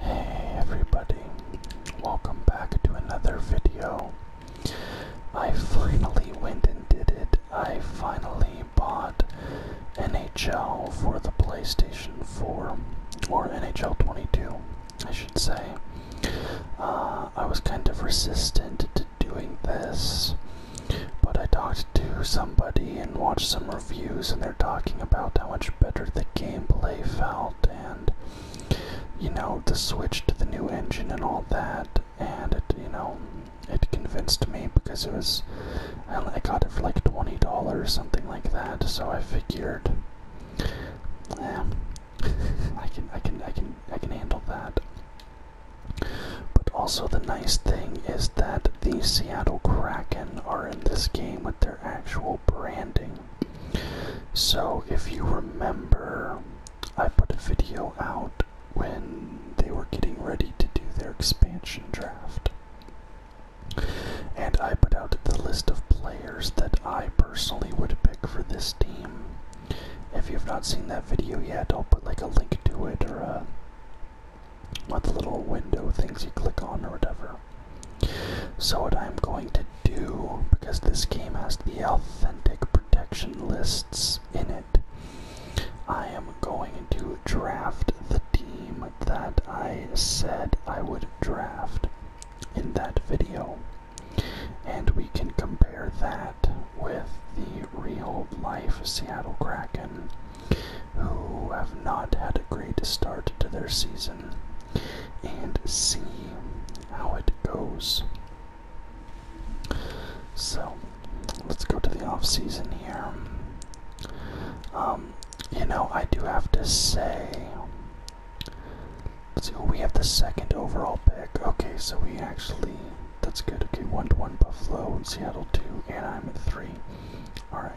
Hey everybody, welcome back to another video. I finally went and did it. I finally bought NHL for the PlayStation 4, or NHL 22, I should say. Uh, I was kind of resistant to doing this, but I talked to somebody and watched some reviews and they're talking about how much better the gameplay felt and you know the switch to the new engine and all that and it you know it convinced me because it was I got it for like $20 or something like that so I figured I can I can I can I can handle that but also the nice thing is that the Seattle Kraken are in this game with their actual branding. So, if you remember, I put a video out when they were getting ready to do their expansion draft. And I put out the list of players that I personally would pick for this team. If you've not seen that video yet, I'll put like a link to it or a what the little window things you click on or whatever. So what I'm going to do, because this game has the authentic protection lists in it, I am going to draft the team that I said I would draft in that video. And we can compare that with the real life Seattle Kraken who have not had a great start to their season and see how it goes. So let's go to the off season here. Um, you know, I do have to say. Let's see, oh, we have the second overall pick. Okay, so we actually. That's good. Okay, 1 to 1 Buffalo, Seattle 2, I'm at 3. Alright.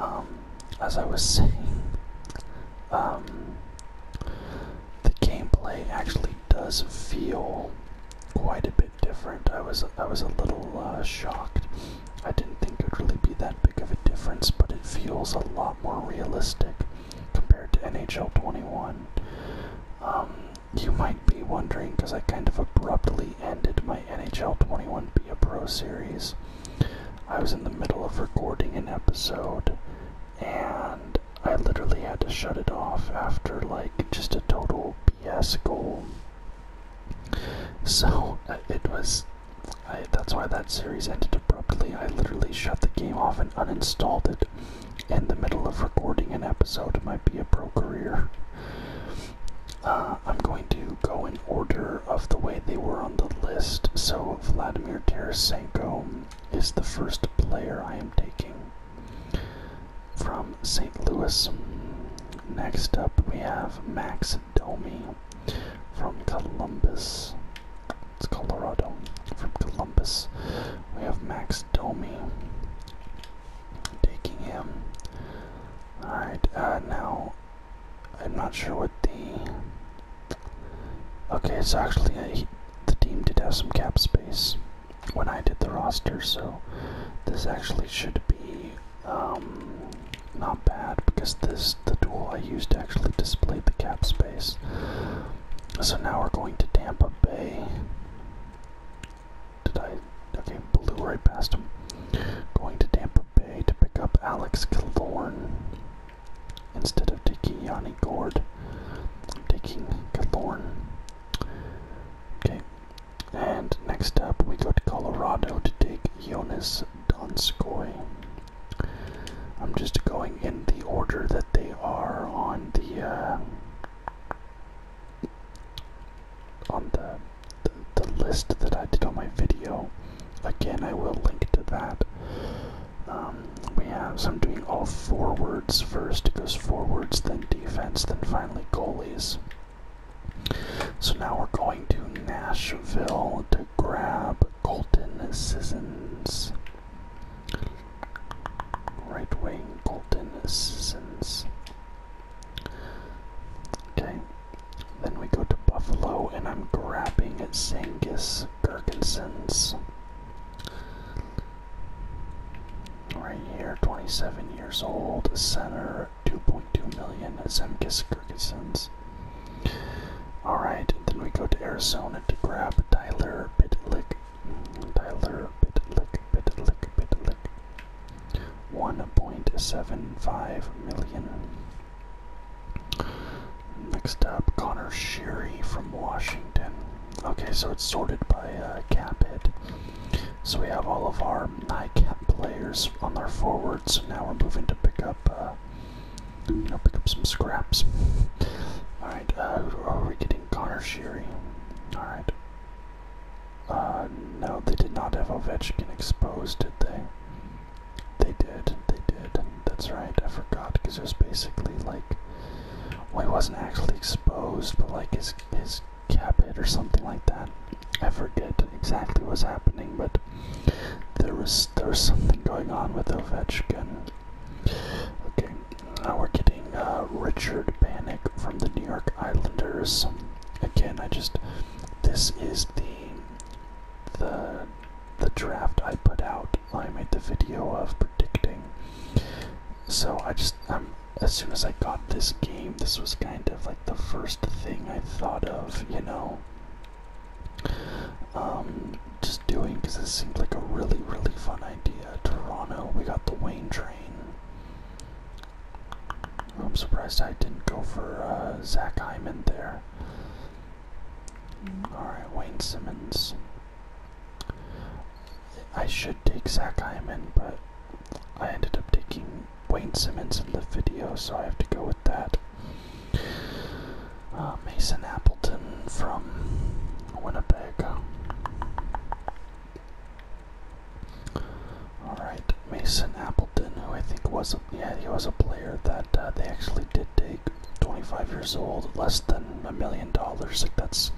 Um, as I was saying, um, the gameplay actually does feel quite a bit different. I was I was a little uh, shocked. I didn't think it would really be that big of a difference, but it feels a lot more realistic compared to NHL 21. Um, you might be wondering because I kind of abruptly ended my NHL 21 Be a Pro series. I was in the middle of recording an episode and I literally had to shut it off after like just a total BS goal. So it was. that's why that series ended abruptly. I literally shut the game off and uninstalled it in the middle of recording an episode of my Be a Pro career. Uh, I'm going to go in order of the way they were on the list. So Vladimir Tarasenko is the first player I am taking from St. Louis. Next up, we have Max Domi from Columbus. It's Colorado. From Columbus, we have Max Domi taking him. Alright, uh, now I'm not sure what the. Okay, it's actually the team did have some cap space when I did the roster, so this actually should be um, not bad because this the tool I used actually displayed the cap space. So now we're going to Tampa Bay. Did I? Okay, blew right past him. Going to Tampa. Bay to pick up Alex Killorn instead of taking Yanni Gord. Taking Killorn. Okay. And next up, we go to Colorado to take Jonas Donskoy. I'm just going in the order that they are on the uh, on the the, list that I did on my video. Again, I will link to that. Um, we have, so I'm doing all forwards first. It goes forwards, then defense, then finally goalies. So now we're going to Nashville to grab Colton Sissons. Right wing Colton Sissons. Okay, then we go to Buffalo, and I'm grabbing Zangus Gerkensons. Right here, 27 years old, center, 2.2 million, Zemkis Gerkensons. Alright, then we go to Arizona to grab Tyler Bitlick. Tyler Bitlick, Bitlick, Bitlick. 1.75 million. Next up, Connor Sheary from Washington. Okay, so it's sorted by uh, cap hit. So we have all of our high cap players on their forwards. So now we're moving to pick up, uh, you know, pick up some scraps. all right, uh, are we getting Connor Sheary? All right. Uh, no, they did not have Ovechkin exposed, did they? They did, they did. That's right, I forgot because it was basically like, well, he wasn't actually exposed, but like his his cap it or something like that. I forget exactly what's happening, but there was there was something going on with Ovechkin. Okay, now we're getting uh, Richard Panic from the New York Islanders. Again, I just this is the the the draft I put out. I made the video of predicting. So I just um as soon as I got this game, this was kind of like the first thing I thought of, you know. Um, just doing because it seemed like a really really fun idea. Toronto, we got the Wayne train. I'm surprised I didn't go for uh, Zach Hyman there. Mm-hmm. All right, Wayne Simmons. I should take Zach Hyman, but I ended up taking Wayne Simmons in the video, so I have to go with that. Uh, Mason Appleton from Winnipeg. Alright, Mason Appleton, who I think was yeah, he was a player that uh, they actually did take. 25 years old, less than a million dollars. that's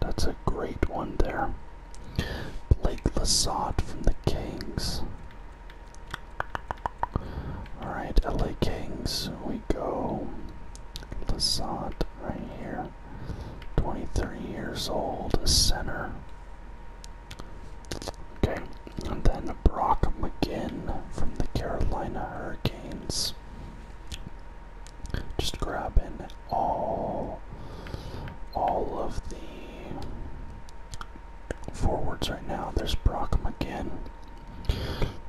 that's a great one there. Blake Lasat from the Kings. All right, LA Kings. We go. Lasat right here. 23 years old, center. Okay, and then Brock McGinn from the Carolina Hurricanes. Just grabbing all all of the forwards right now. There's Brock McGinn.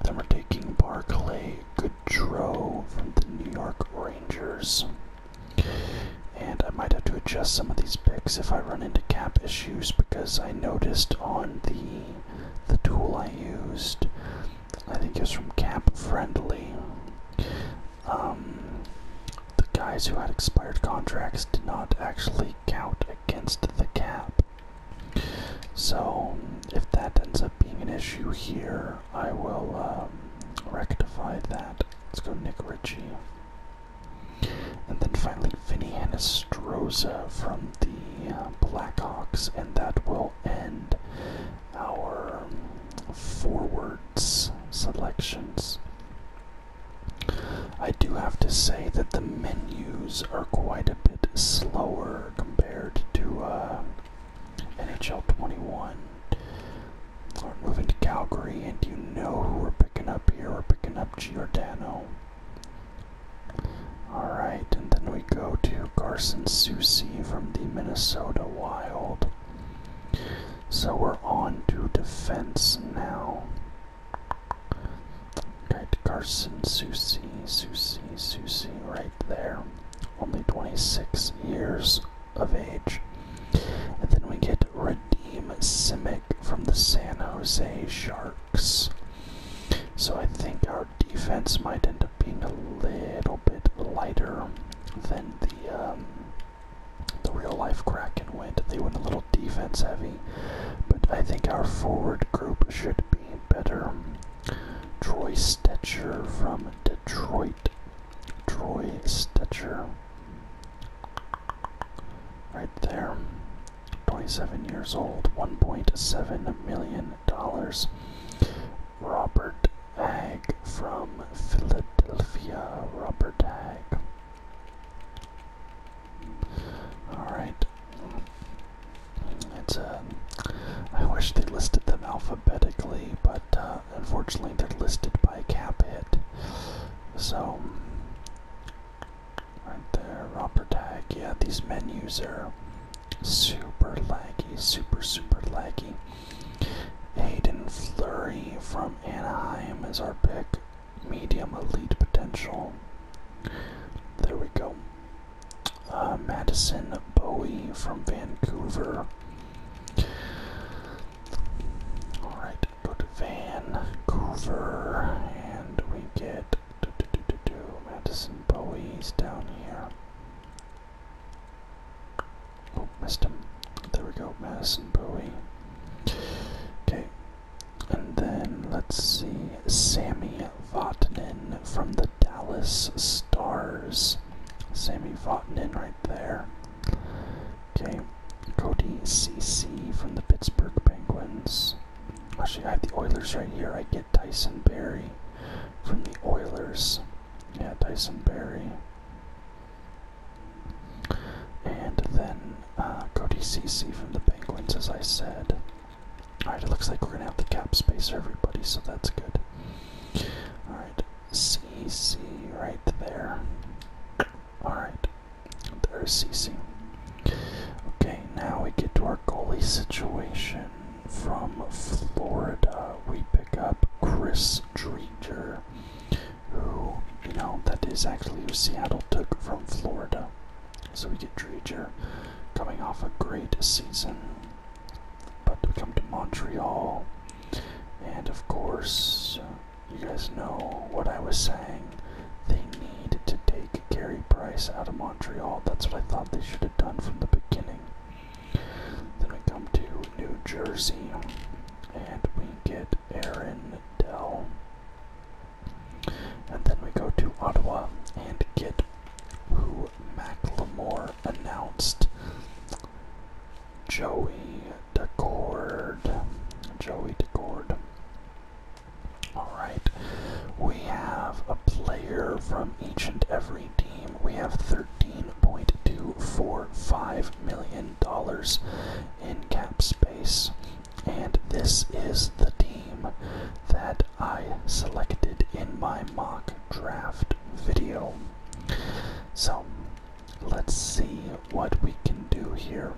Then we're taking Barclay Goodrow from the New York Rangers and I might have to adjust some of these picks if I run into cap issues because I noticed on the the tool I used, I think it was from Cap Friendly. Um, the guys who had expired contracts did not actually count against the cap. So if that ends up being an issue here, I will um, rectify that. Let's go Nick Ritchie. And then finally, Vinny Anastroza from the uh, Blackhawks, and that will end our forwards selections. I do have to say that the menus are quite a bit slower compared to uh, NHL 21. We're moving to Calgary, and you know who we're picking up here. We're picking up Giordano. Alright, and then we go to Carson Soucy from the Minnesota Wild. So we're on to defense now. Right, Carson Soucy, Soucy, Soucy, right there. Only 26 years of age. And then we get Red Vadim Simic from the San Jose Sharks. So I think our defense might end up being a little bit lighter than the um, the real life Kraken went. They went a little defense heavy, but I think our forward group should be better. Troy Stetcher from Detroit. Troy Stetcher. Right there. 27 years old, $1.7 million. Robert Hag from Philadelphia. Robert Hag. Alright. It's a. Uh, I wish they listed them alphabetically, but uh, unfortunately they're listed by cap hit. So. Right there, romper tag. Yeah, these menus are super laggy, super, super laggy. Hayden Flurry from Anaheim is our pick. Medium elite potential. There we go. Uh, Madison Bowie from Vancouver. Alright, Go to Vancouver, and we get do, Madison Bowie's down here. Oh, missed him. There we go, Madison Bowie. Okay, and then let's see Sammy Vatanen from the Dallas Stars. Sammy Vatanen right there. Okay, Cody CC from the Pittsburgh Penguins. Actually, I have the Oilers right here. I get Tyson Berry from the Oilers. Yeah, Tyson Berry. And then uh, Cody CC from the Penguins, as I said. Alright, it looks like we're going to have the cap space for everybody, so that's good. Alright, CC right there. Alright, they're CC. Okay, now we get to our goalie situation. From Florida, we pick up Chris Dreger, who, you know, that is actually who Seattle took from Florida. So we get Dreger coming off a great season. But we come to Montreal, and of course, you guys know what I was saying. They need to take Gary Price out of Montreal. That's what I thought they should have done from the beginning. Then we come to New Jersey and we get Aaron Dell. And then we go to Ottawa and get who Macklemore announced. Joey DeCord. Joey DeCord. All right, we have a player from each and every team. We have $13.245 million in cap space, and this is the team that I selected in my mock draft video. So let's see what we can do here.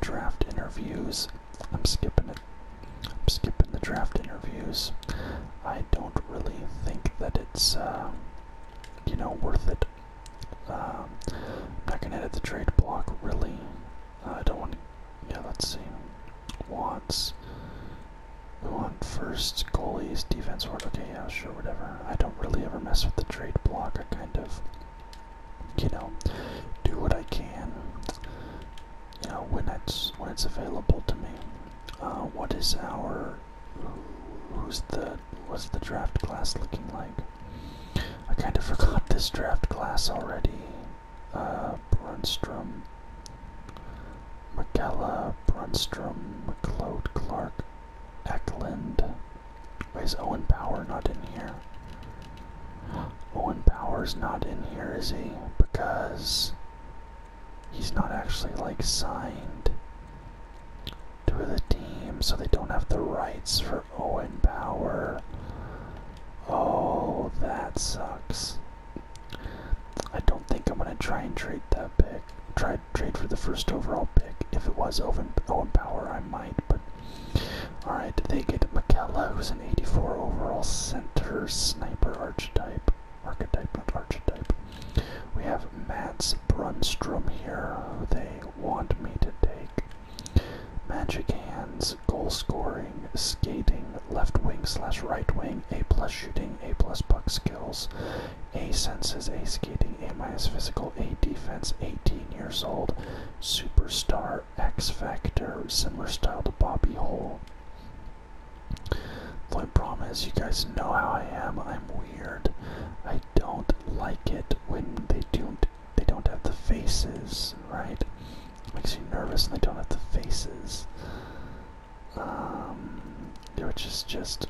Draft interviews. I'm skipping it. I'm skipping the draft interviews. I don't really think that it's, uh, you know, worth it. I'm um, not gonna edit the trade block really. I don't want. Yeah, let's see. Wants. We want first goalies, defense, word. Okay, yeah, sure, whatever. I don't really ever mess with the trade block. I kind of you know, do what I can, you know, when it's when it's available to me. Uh, what is our who's the what's the draft class looking like? I kind of forgot this draft class already. Uh, Brunstrom, McKella, Brunstrom, McLeod, Clark, Ecklund. Why is Owen Power not in here? Owen Power is not in here, is he? Because he's not actually like signed to the team, so they don't have the rights for Owen Power. Oh, that sucks. I don't think I'm gonna try and trade that pick. Try trade for the first overall pick. If it was Owen Owen Power, I might. but. All right, they get McKella, who's an 84 overall center sniper archetype. Archetype, not archetype. We have Mats Brunstrom here, they want me to take. Magic hands, goal scoring, skating, left wing slash right wing, A plus shooting, A plus puck skills, A senses, A skating, A minus physical, A defense, 18 years old, superstar, X Factor, similar style to Bobby Hole. The only problem is, you guys know how I am. I'm weird. I don't like it when they don't they don't have the faces, right? makes you nervous, and they don't have the faces. They're um, just just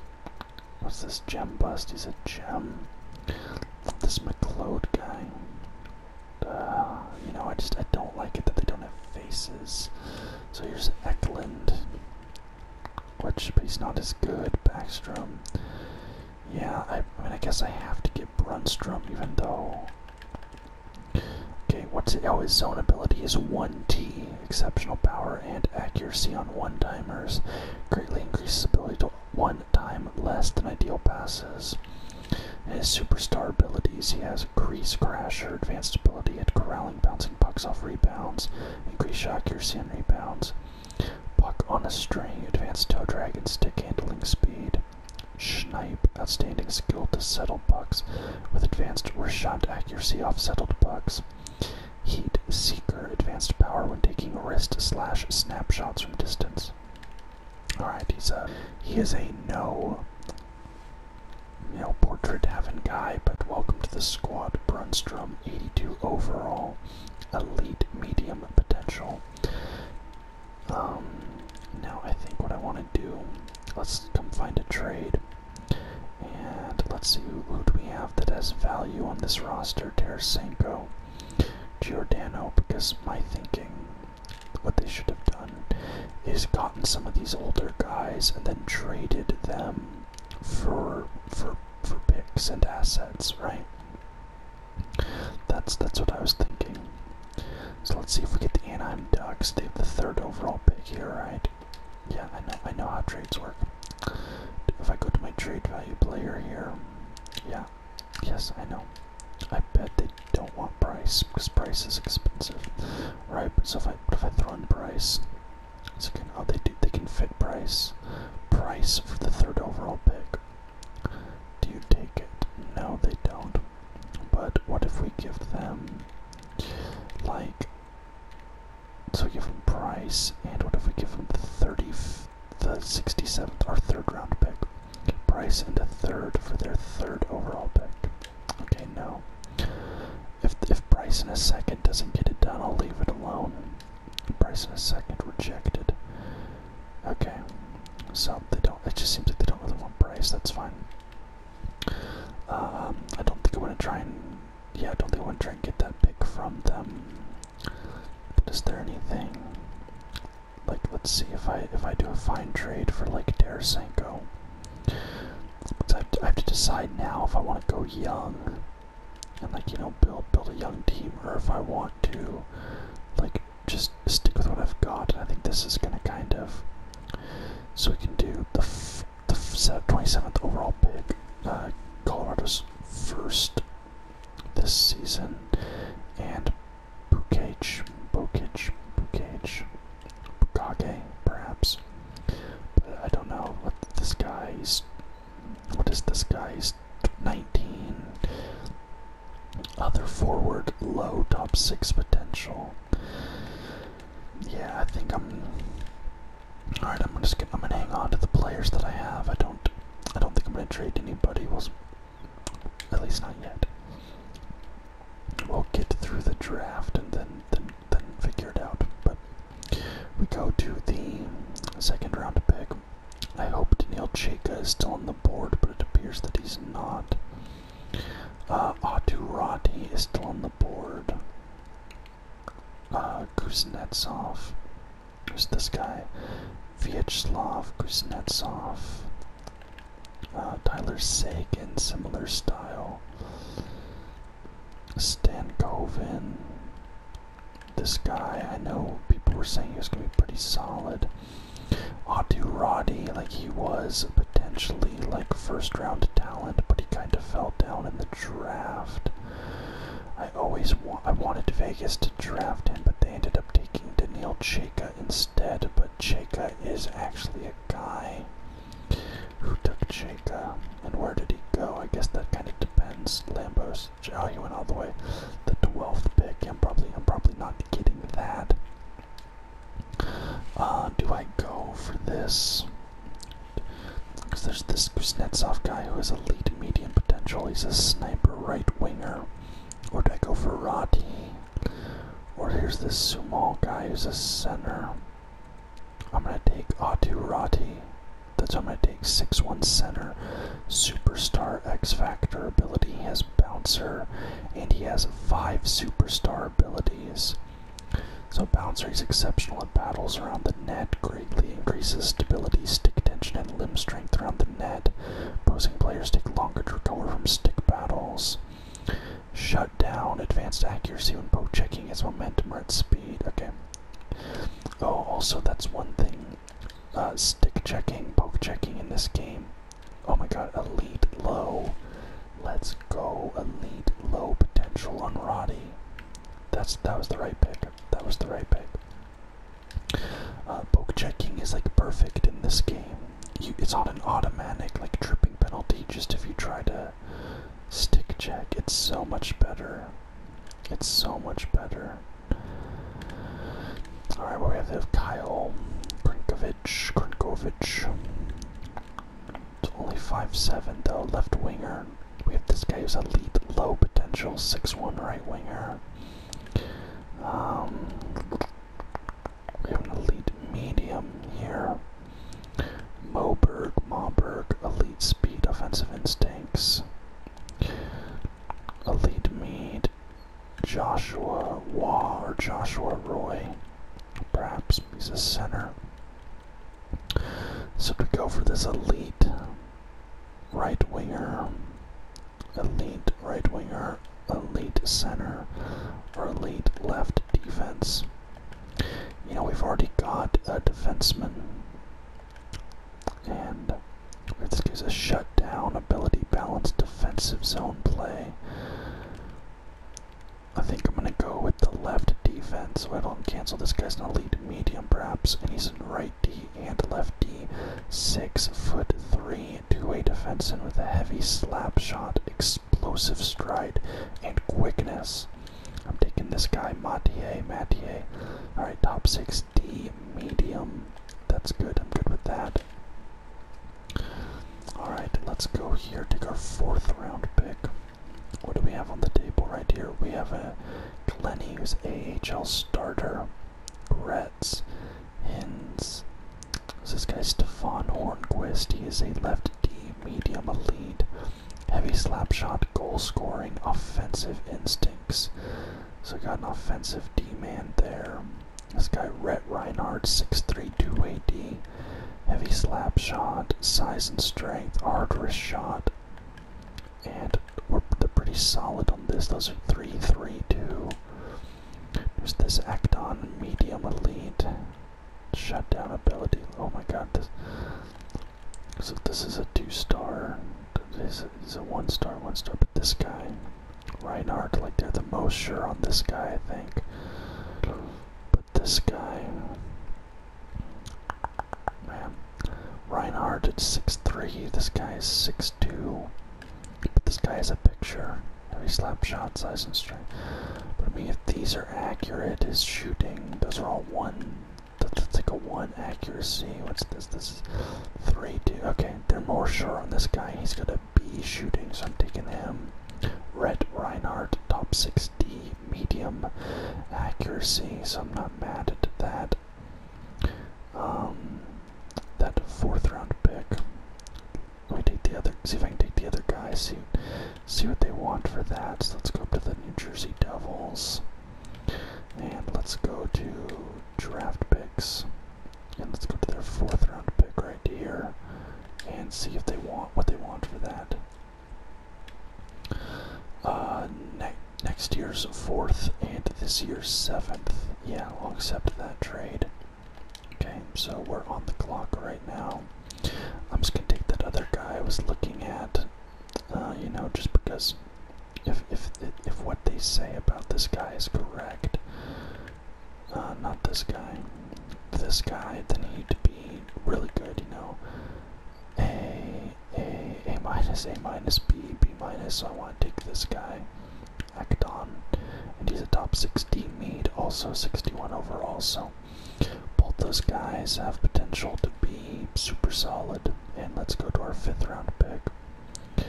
what's this gem bust? He's a gem. This McLeod guy. Uh, you know, I just I don't like it that they don't have faces. So here's Eklund, which but he's not as good. Backstrom, yeah. I, I mean, I guess I have to get Brunstrom, even though. Okay, what's it? Oh, his zone ability is 1T. Exceptional power and accuracy on one timers. Greatly increases ability to one time less than ideal passes. His superstar abilities, he has Crease Crasher, advanced ability at corralling, bouncing pucks off rebounds, increased shot accuracy on rebounds, puck on a string, advanced toe drag and stick handling speed. Schneip, outstanding skill to settle pucks with advanced or shot accuracy off settled pucks. Heat Seeker, advanced power when taking wrist slash snapshots from distance. All right, he's a uh, he is a no, you know, portrait having guy. But welcome to the squad, Brunstrom, 82 overall, elite medium potential. Um, now I think what I want to do, let's come find a trade, and let's see who, who do we have that has value on this roster. Tarasenko, Giordano, because my thinking what they should have done is gotten some of these older guys and then traded them for for for picks and assets, right? That's that's what I was thinking. So let's see if we get the Anaheim Ducks. They have the third overall pick here, right? Yeah, I know I know how trades work. If I go to my trade value player here, yeah, Yes, I know. I bet they don't want Price because Price is expensive, right? So if I if I throw in Bryce, it's oh, they do. They can fit Price, Price for the third overall pick. Do you take it? No, they don't. But what if we give them like? So we give them Price, and what if we give them the thirty the 67th, or third round pick. Price and a third for their third overall pick. Okay, no. If if Bryce in a second doesn't get it done, I'll leave it alone. Bryce in a second rejected. Okay, so they don't. It just seems like they don't really want Bryce. That's fine. Um, I don't think I want to try and yeah, I don't think I want to try and get that pick from them. But is there anything like, let's see if I if I do a fine trade for like Tarasenko. I have, to, I have to decide now if I want to go young and like you know build build a young team, or if I want to like just stick with what I've got. I think this is gonna kind of so we can do the f the twenty seventh overall pick, uh, Colorado's first this season, and Bukage, Bukage, Bukage, Bukage, perhaps. But I don't know what this guy's. What is this guy's 19? Other forward, low top six potential. Yeah, I think I'm. All right, I'm just gonna. I'm gonna hang on to the players that I have. I don't. I don't think I'm gonna trade anybody. At least not yet. We'll get through the draft and then then then figure it out. But we go to the second round pick. I hope Daniel Chika is still on the board, but it appears that he's not. Uh, Atu Rati is still on the board. Uh, Kuznetsov, who's this guy? Vyacheslav Kuznetsov, uh, Tyler Seguin, similar style, Stan Govan. This guy, I know people were saying he was going to be pretty solid. Adu Roddy, like he was potentially like first round talent, but he kind of fell down in the draft. I always wanted Vegas to draft him, but they ended up taking Daniil Cheka instead, but Cheka is actually a guy. Who took Cheka? And where did he go? I guess that kind of depends. Lambos. Oh, he went all the way. The 12th pick. I'm probably, I'm probably not getting that. Uh, do I go for this? Because there's this Kuznetsov guy who has elite medium potential. He's a sniper right winger. Or do I go for Rati? Or here's this Sumal guy who's a center. I'm gonna take Atu Rati. That's I'm gonna take six one center, superstar X Factor ability. He has bouncer, and he has five superstar abilities. So bouncer is exceptional at battles around the net, greatly increases stability, stick tension, and limb strength around net. posing players take longer to recover from stick battles. Shut down, advanced accuracy when poke checking is momentum or speed. Okay. Oh, also, that's one thing. Uh, stick checking, poke checking in this game. Oh my god, elite low. Let's go, elite low potential on Roddy. That's that was the right pick. That was the right pick. Uh, poke checking is like perfect in this game. it's on an automatic like tripping penalty. Just if you try to stick check, it's so much better. It's so much better. All right, we have, we have Kyle Krinkovich. Krinkovich. It's only five seven though. Left winger. We have this guy who's a lead low potential, six one right winger. Um, we have an elite medium here. Moberg, Moberg, elite speed, offensive instincts. Elite Mead, Joshua Waugh or Joshua Roy. Perhaps he's a center. So to go for this elite right winger elite right winger, elite center, or elite left defense. You know, we've already got a defenseman, and this gives us down ability, balanced defensive zone play. I think I'm going to go with the left defense, so don't cancel. This guy's an elite medium, perhaps, and he's in right D and left D, six foot three a two-way defenseman with a heavy slap shot, explosive stride, and quickness. I'm taking this guy, Matier, Matier. All right, top six D, medium. That's good. I'm good with that. All right, let's go here. Take our fourth round pick. What do we have on the table right here? We have a Glenny, who's AHL starter. Gretz Hins. This guy Stefan Hornquist. He is a left D medium elite. Heavy slapshot, goal scoring, offensive instincts. So got an offensive D man there. This guy Ret Reinhardt, 6'3", 280. Heavy slap shot, size and strength, arduous shot. And we're, they're pretty solid on this. Those are 3 there's this act on medium elite? Shutdown ability. Oh my god, this. So this is a two-star. This is a one-star, one-star. But this guy, Reinhardt, like they're the most sure on this guy, I think. But this guy, man, Reinhardt six three. this guy is six two. But this guy has a picture of his size and strength. But I mean, if these are accurate, his shooting, those are all one. That's like a one accuracy. What's this? This is three, two. Okay, they're more sure on this guy. He's gonna be shooting, so I'm taking him. Red Reinhardt, top 6D, medium accuracy, so I'm not mad at that. Um, that fourth round pick. Let me take the other. See if I can take the other guy. See, see what they want for that. So let's go up to the New Jersey Devils, and let's go to draft picks, and let's go to their fourth round pick right here, and see if they want what they want for that. Uh, ne next year's fourth and this year's seventh. Yeah, I'll accept that trade. Okay, so we're on the clock right now. I'm just gonna take that other guy I was looking at, uh, you know, just because if if if what they say about this guy is correct, uh, not this guy, this guy, then he'd be really good, you know. A A A minus A minus B B minus. So I want to take this guy Hackathon, and he's a top 60 mead, also 61 overall. So both those guys have potential to be super solid. And let's go to our fifth round pick.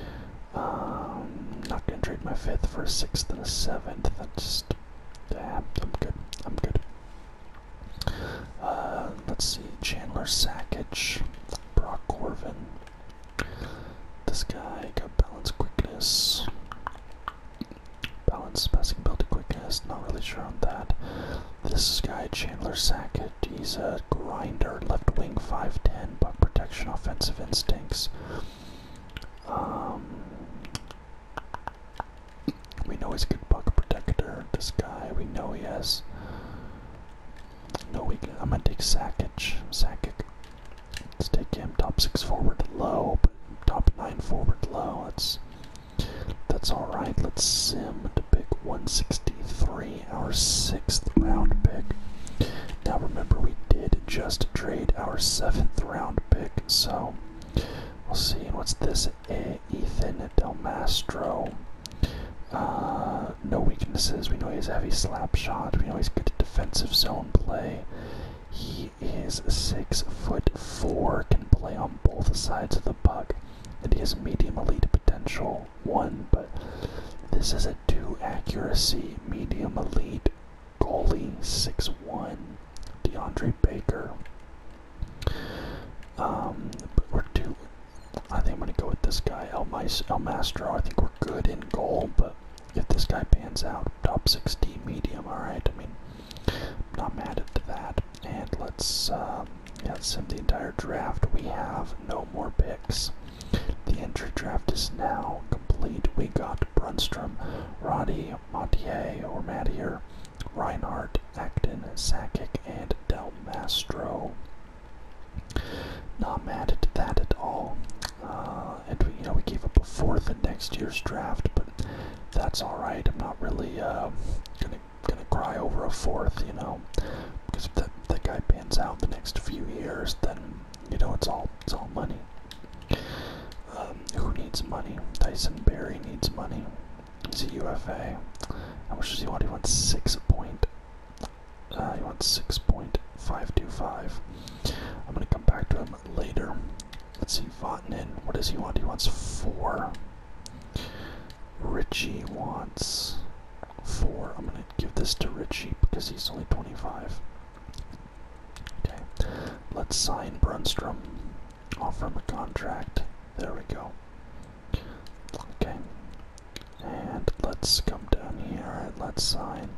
Um, not gonna trade my fifth for a sixth and a seventh. That's just yeah, I'm good. I'm good. Uh, let's see, Chandler Sackage, Brock Corvin, this guy got balance quickness. Balance passing ability quickness, not really sure on that. This guy, Chandler Sackett, he's a grinder, left wing 5'10, buck protection, offensive instincts. Um, we know he's a good buck protector. This guy, we know he has no weakness. I'm gonna take Sackett. Sackett. Let's take him top six forward low, but top nine forward low. That's that's all right. Let's sim to pick 163, our sixth round pick. Now remember, we did just trade our seventh round pick, so we'll see. What's this? Ethan Delmastro. Uh, no weaknesses. We know he has a heavy slap shot. We know he's good at defensive zone play. He is six foot four, can play on both sides of the puck, and he has medium elite potential one. But this is a two accuracy medium elite goalie, six one, DeAndre Baker. Um, but we're two. I think I'm gonna go with this guy, El, Mice, I think we're good in goal, but if this guy pans out, top 60 medium, alright, I mean, I'm not mad at that, and let's, uh, yeah, let's sim the entire draft, we have no more picks, the entry draft is now complete, we got Brunstrom, Roddy, Montier, or Mattier, Reinhardt, Acton, Sakic, and Del Mastro. Not mad at that at all. Uh, and we, you know we gave up a fourth in next year's draft, but that's all right. I'm not really uh, gonna gonna cry over a fourth, you know, because if that that guy pans out the next few years, then you know it's all it's all money. Um, who needs money? Tyson Berry needs money. He's a UFA. I wish he want? He wants six point uh, he wants 6.525. I'm going to come back to him later. Let's see, Vatanen, what does he want? He wants 4. Richie wants 4. I'm going to give this to Richie because he's only 25. Okay, let's sign Brunstrom. Offer him a contract. There we go. Okay, and let's come down here and let's sign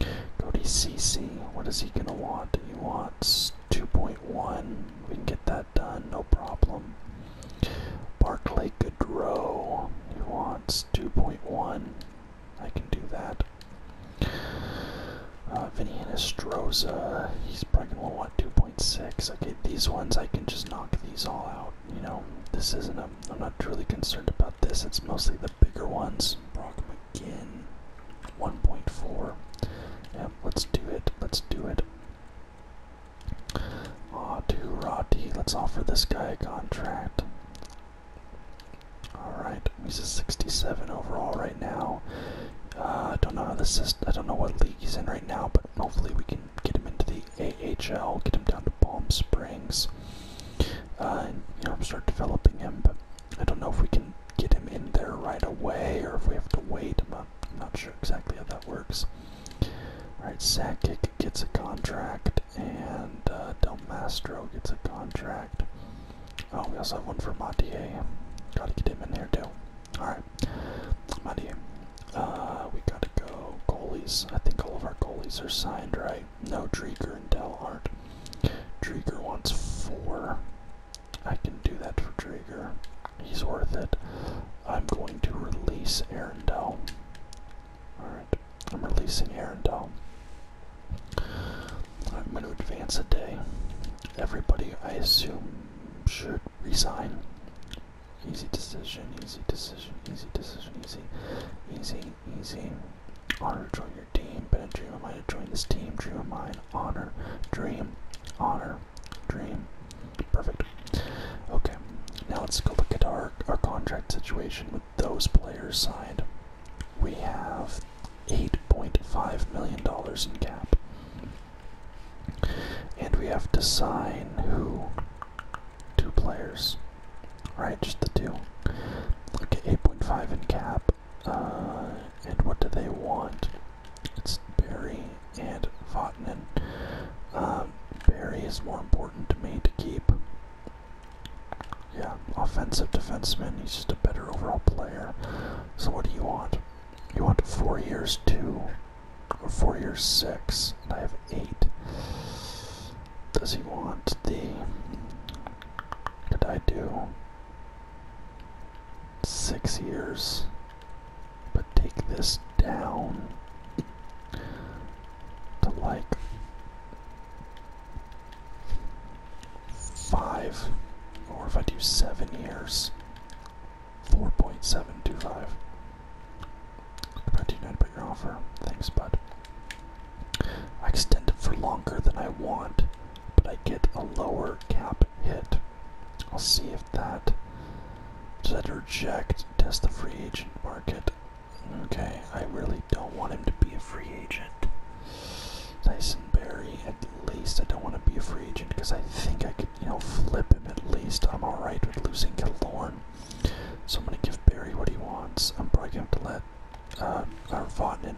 Go to CC. What is he gonna want? He wants 2.1. We can get that done, no problem. Barclay Goodrow. He wants 2.1. I can do that. Uh, Vinny Anastroza. He's probably gonna want 2.6. Okay, these ones I can just knock these all out. You know, this isn't a um, I'm not truly concerned about this. It's mostly the bigger ones. Brock McGinn, 1.4. Yep, let's do it. Let's do it. Ah, to Let's offer this guy a contract. Alright, he's a 67 overall right now. I uh, don't know how this is. I don't know what league he's in right now, but hopefully we can get him into the AHL, get him down to Palm Springs uh, you know start developing him. But I don't know if we can get him in there right away or if we have to wait. I'm not, sure exactly how that works. All right, Sakic gets a contract and uh, Del Mastro gets a contract. Oh, we also have one for Montier. Gotta get him in there too. Alright. Montier. Uh, we gotta go goalies. I think all of our goalies are signed, right? No, Drieger and Dell aren't. Drieger wants four. I can do that for Drieger. He's worth it. I'm going to release Arendelle. Alright, I'm releasing Arendelle. I'm going to advance a day. Everybody, I assume, should resign. Easy decision, easy decision, easy decision, easy, easy, it easy. Honor, join your team. Been a dream of mine to join this team. Dream of mine. Honor, dream, honor, dream. Perfect. Okay, now let's go look at our, our contract situation with those players signed. We have $8.5 million in cap. And we have to sign who? Two players. Right, just the two. Okay, 8.5 in cap. Uh, and what do they want? It's Barry and Vatanen. Um, Barry is more important to me to keep. Yeah, offensive defenseman. He's just a better overall player. So what do you want? You want four years two, or four years six, and I have eight. Does he want the could I do? Six years. But take this down to like five, or if I do seven years, 4.725. I do not put your offer, thanks, bud. I extend it for longer than I want, but I get a lower cap hit. I'll see if that does that reject test the free agent market. Okay, I really don't want him to be a free agent. Tyson Berry, at least I don't want to be a free agent because I think I could, you know, flip him at least. I'm alright with losing Galorn. So I'm gonna give Barry what he wants. I'm probably gonna have to let uh, or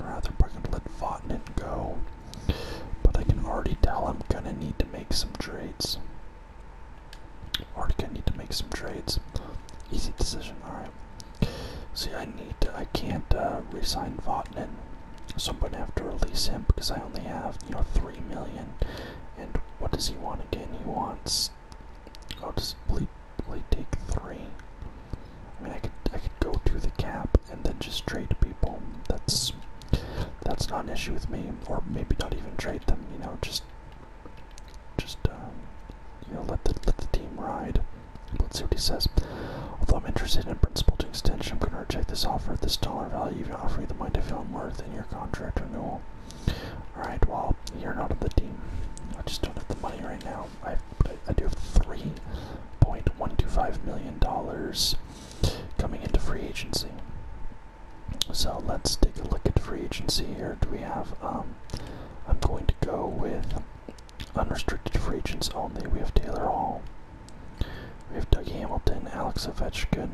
rather, but I'm gonna let Votnin go. But I can already tell I'm gonna need to make some trades. Already gonna need to make some trades. Easy decision, alright. See, I need to, I can't uh, resign Votnin, so I'm gonna have to release him because I only have, you know, 3 million. And what does he want again? He wants I'll just late take three. I could I could go to the cap and then just trade people. That's that's not an issue with me. Or maybe not even trade them, you know, just just uh, you know let the let the team ride. Let's see what he says. Although I'm interested in principal to extension, I'm going to reject this offer at this dollar value. You've offered me the money to feel more than your contract renewal. Alright, well, you're not on the team. I just don't have the money right now. I, do have $3.125 million coming into free agency. So let's take a look at free agency here. Do we have, um, I'm going to go with unrestricted free agents only. We have Taylor Hall. We have Doug Hamilton, Alex Ovechkin,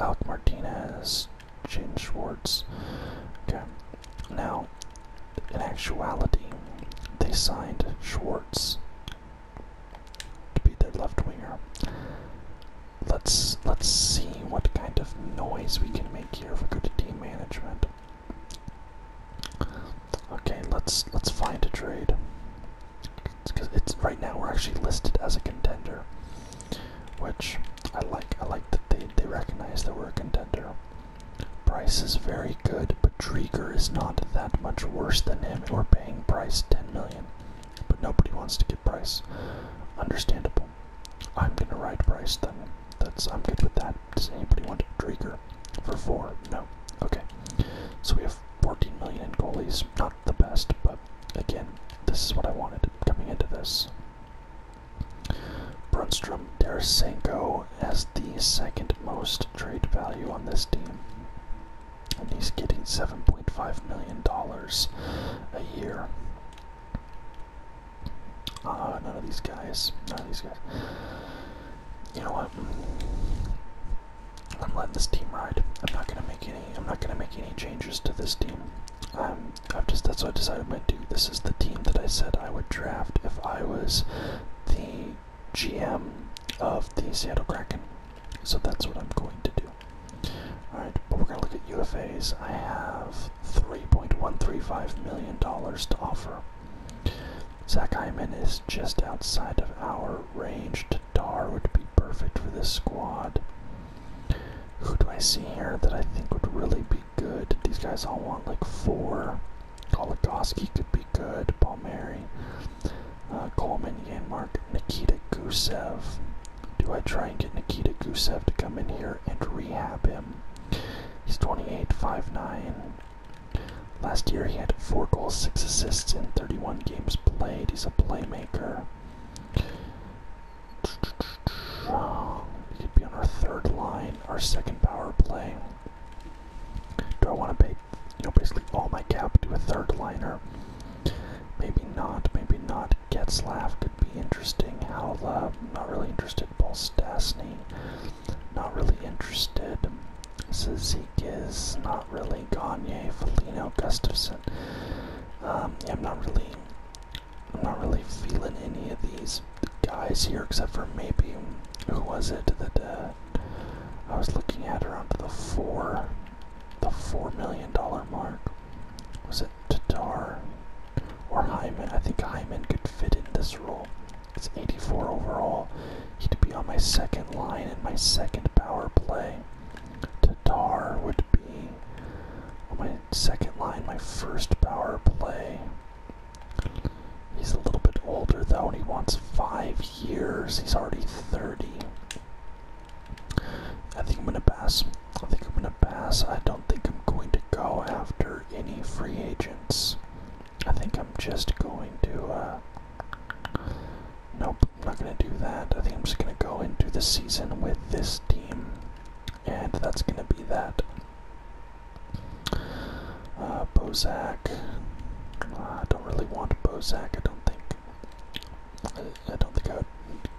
Alec Martinez, James Schwartz. Okay. Now, in actuality, they signed Schwartz to be their left winger. Let's let's see what kind of noise we can make here if we go to team management. Okay, let's let's find a trade. Because it's right now we're actually listed as a contender, which I like. I like that they they recognize that we're a contender. Price is very good, but Dreger is not that much worse than him, we're paying Price $10 million. But nobody wants to get Price. Understandable. I'm gonna ride Price then. That's I'm good with that. Does anybody want Dreger? for four? No. Okay. So we have 14 million in goalies. Not the best, but again, this is what I wanted coming into this. Brunstrom Tarasenko as the second most trade value on this team. And he's getting $7.5 million a year. Uh, none of these guys. None of these guys. You know what? I'm letting this team ride. I'm not gonna make any. I'm not gonna make any changes to this team. Um, I've just that's what I decided I might do. This is the team that I said I would draft if I was the GM of the Seattle Kraken. So that's what I'm going to do. Alright, but we're gonna look at UFAs. I have three point one three five million dollars to offer. Zach Hyman is just outside of our range. Tatar would be perfect for this squad. Who do I see here that I think would really be good. These guys all want like four. Goligoski could be good. Palmieri, uh, Coleman, Yanmark, Nikita Gusev. Do I try and get Nikita Gusev to come in here and rehab him? He's 28, 5, 9. Last year he had 4 goals, 6 assists in 31 games played. He's a playmaker could be on our third line, our second power play. Do I want to pay, you know, basically all my cap to a third liner? Maybe not, maybe not. Getzlaff could be interesting. How the? not really interested. Bolstastny, not really interested. is not really. Gagne, Felino, Gustafson. Um, yeah, I'm not really I'm not really feeling any of these guys here, except for maybe who was it that uh, I was looking at around the four, the four million dollar mark. Was it Tatar or Hyman? I think Hyman could fit in this role. It's 84 overall. He'd be on my second line in my second power play. Tatar would be on my second line, my first power play. He's a little bit older though, and he wants five years. He's already 30. I think I'm gonna pass. I think I'm gonna pass. I don't think I'm going to go after any free agents. I think I'm just going to, uh, nope, I'm not gonna do that. I think I'm just gonna go into the season with this team. And that's going to be that. Uh, Bozak. Uh, I don't really want Bozak. I don't think. Uh, I, don't think I would.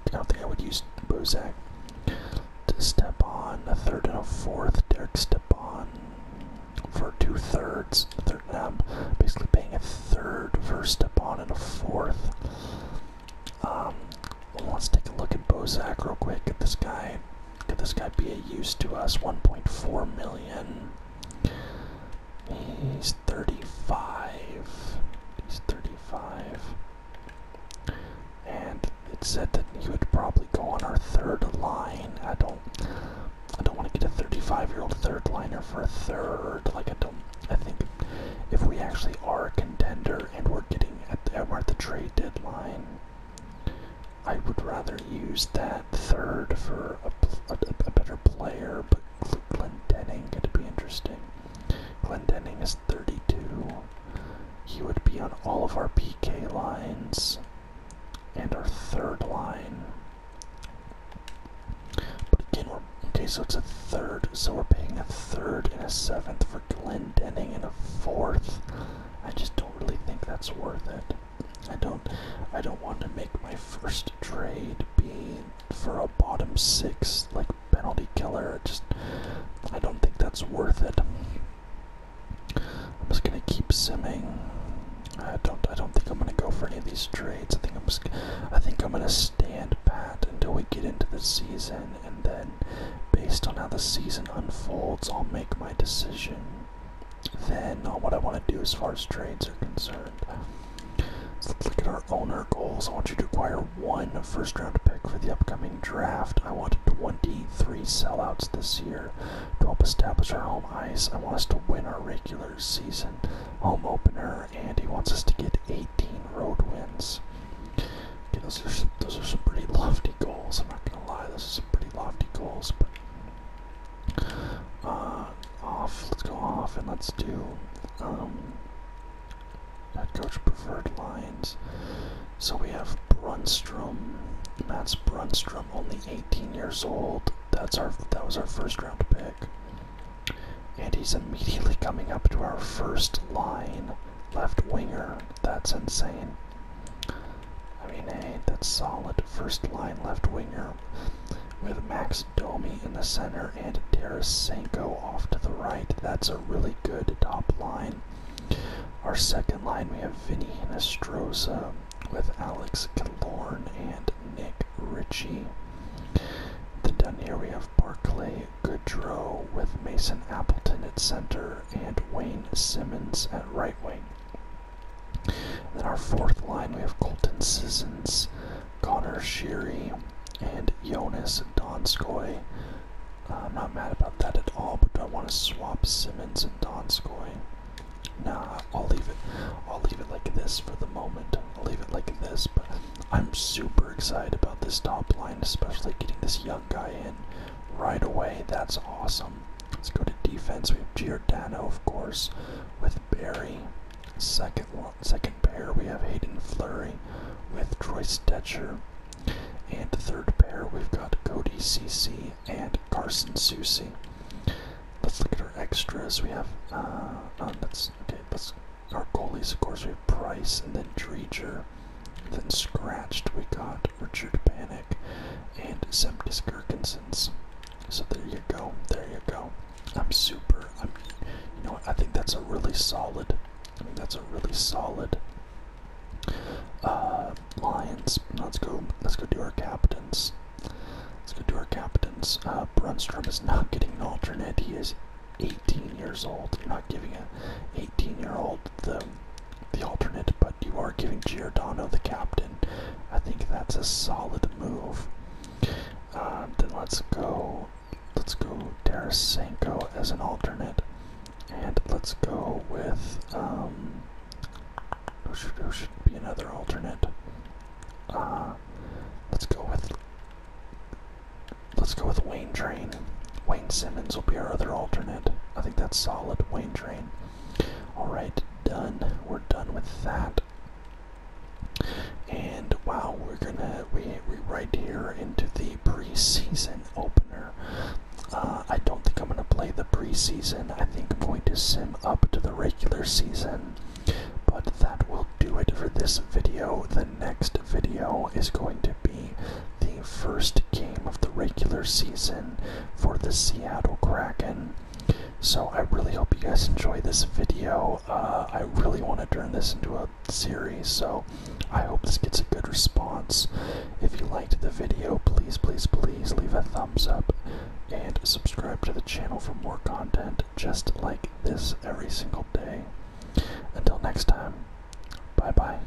I don't think I would use Bozak to step on a third and a fourth. Derek step on for two thirds. basically paying a third first step on and a fourth. Um, Let's take a look at Bozak real quick. Could this guy, could this guy be a use to us? 1.4 million. He's 35. He's 35. And it said that he would probably go on our third line. I don't, I don't want to get a 35-year-old third liner for a third. Like I don't. I think if we actually are a contender and we're getting at at the trade deadline, I would rather use that third for a, better player, but Glendenning could be interesting. Glendenning is 32. He would be on all of our PK lines and our third line. But again, okay, so it's a third, so we're paying a third and a seventh for for Denning in a fourth. I just don't really think that's worth it. I don't I don't want to make my first trade be for a bottom six like penalty killer. Just I don't think that's worth it. I'm just gonna keep simming. I don't I don't think I'm gonna go for any of these trades. I think I'm I think I'm gonna stand pat until we get into the season and then, based on how the season unfolds, I'll make my decision then on uh, what I want to do as far as trades are concerned. let's look at our owner goals. I want you to acquire one first round pick for the upcoming draft. I want 23 sellouts this year to help establish our home ice. I want us to win our regular season home opener, and he wants us to get 18 road wins those are some, pretty lofty goals. I'm not gonna lie, those are some pretty lofty goals. But uh, off, let's go off and let's do um, head coach preferred lines. So we have Brunstrom, That's Brunstrom, only 18 years old. That's our that was our first round pick. And he's immediately coming up to our first line left winger. That's insane. I mean, hey, that's solid. First line left winger with Max Domi in the center and Tarasenko off to the right. That's a really good top line. Our second line, we have Vinny Nostroza with Alex Killorn and Nick Ritchie. Then down here we have Barclay Goodrow with Mason Appleton at center and Wayne Simmons at right wing. Then our fourth line, we have Colton Sissons, Connor Sheary, and Jonas Donskoy. Uh, I'm not mad about that at all, but do I want to swap Simmons and Donskoy? Nah, I'll leave it. I'll leave it like this for the moment. I'll leave it like this, but I'm super excited about this top line, especially getting this young guy in right away. That's awesome. Let's go to defense. We have Giordano, of course, with Barry. Second one, second pair, we have Hayden Flurry with Troy Stetcher. And third pair, we've got Cody CC and Carson Susie. Let's look at our extras. We have, uh, oh, that's, okay, That's our goalies, of course, we have Price and then Dreger. Then scratched, we got Richard Panic and Zemgus Gerkensons. So there you go, there you go. I'm super. i you know, what, I think that's a really solid. that's a really solid. Uh, Lions. Let's go. Let's go do our captains. Let's go do our captains. Uh, Brunstrom is not getting an alternate. He is 18 years old. You're not giving an 18-year-old the the alternate, but you are giving Giordano the captain. I think that's a solid move. Um, then let's go. Let's go Tarasenko as an alternate, and let's go with um, who should who should be another alternate? Uh, let's go with let's go with Wayne Train. Wayne Simmons will be our other alternate. I think that's solid. Wayne Train. Alright, done. We're done with that. And wow, we're gonna we we right here into the preseason opener. Uh, I don't think I'm gonna play the preseason. I think I'm going to sim up to the regular season. But that will do it for this video. The next video is going to be the first game of the regular season for the Seattle Kraken. So I really hope you guys enjoy this video. Uh, I really want to turn this into a series, so I hope this gets a good response. If you liked the video, please, please, please leave a thumbs up and subscribe to the channel for more content just like this every single day. Until next time, bye bye.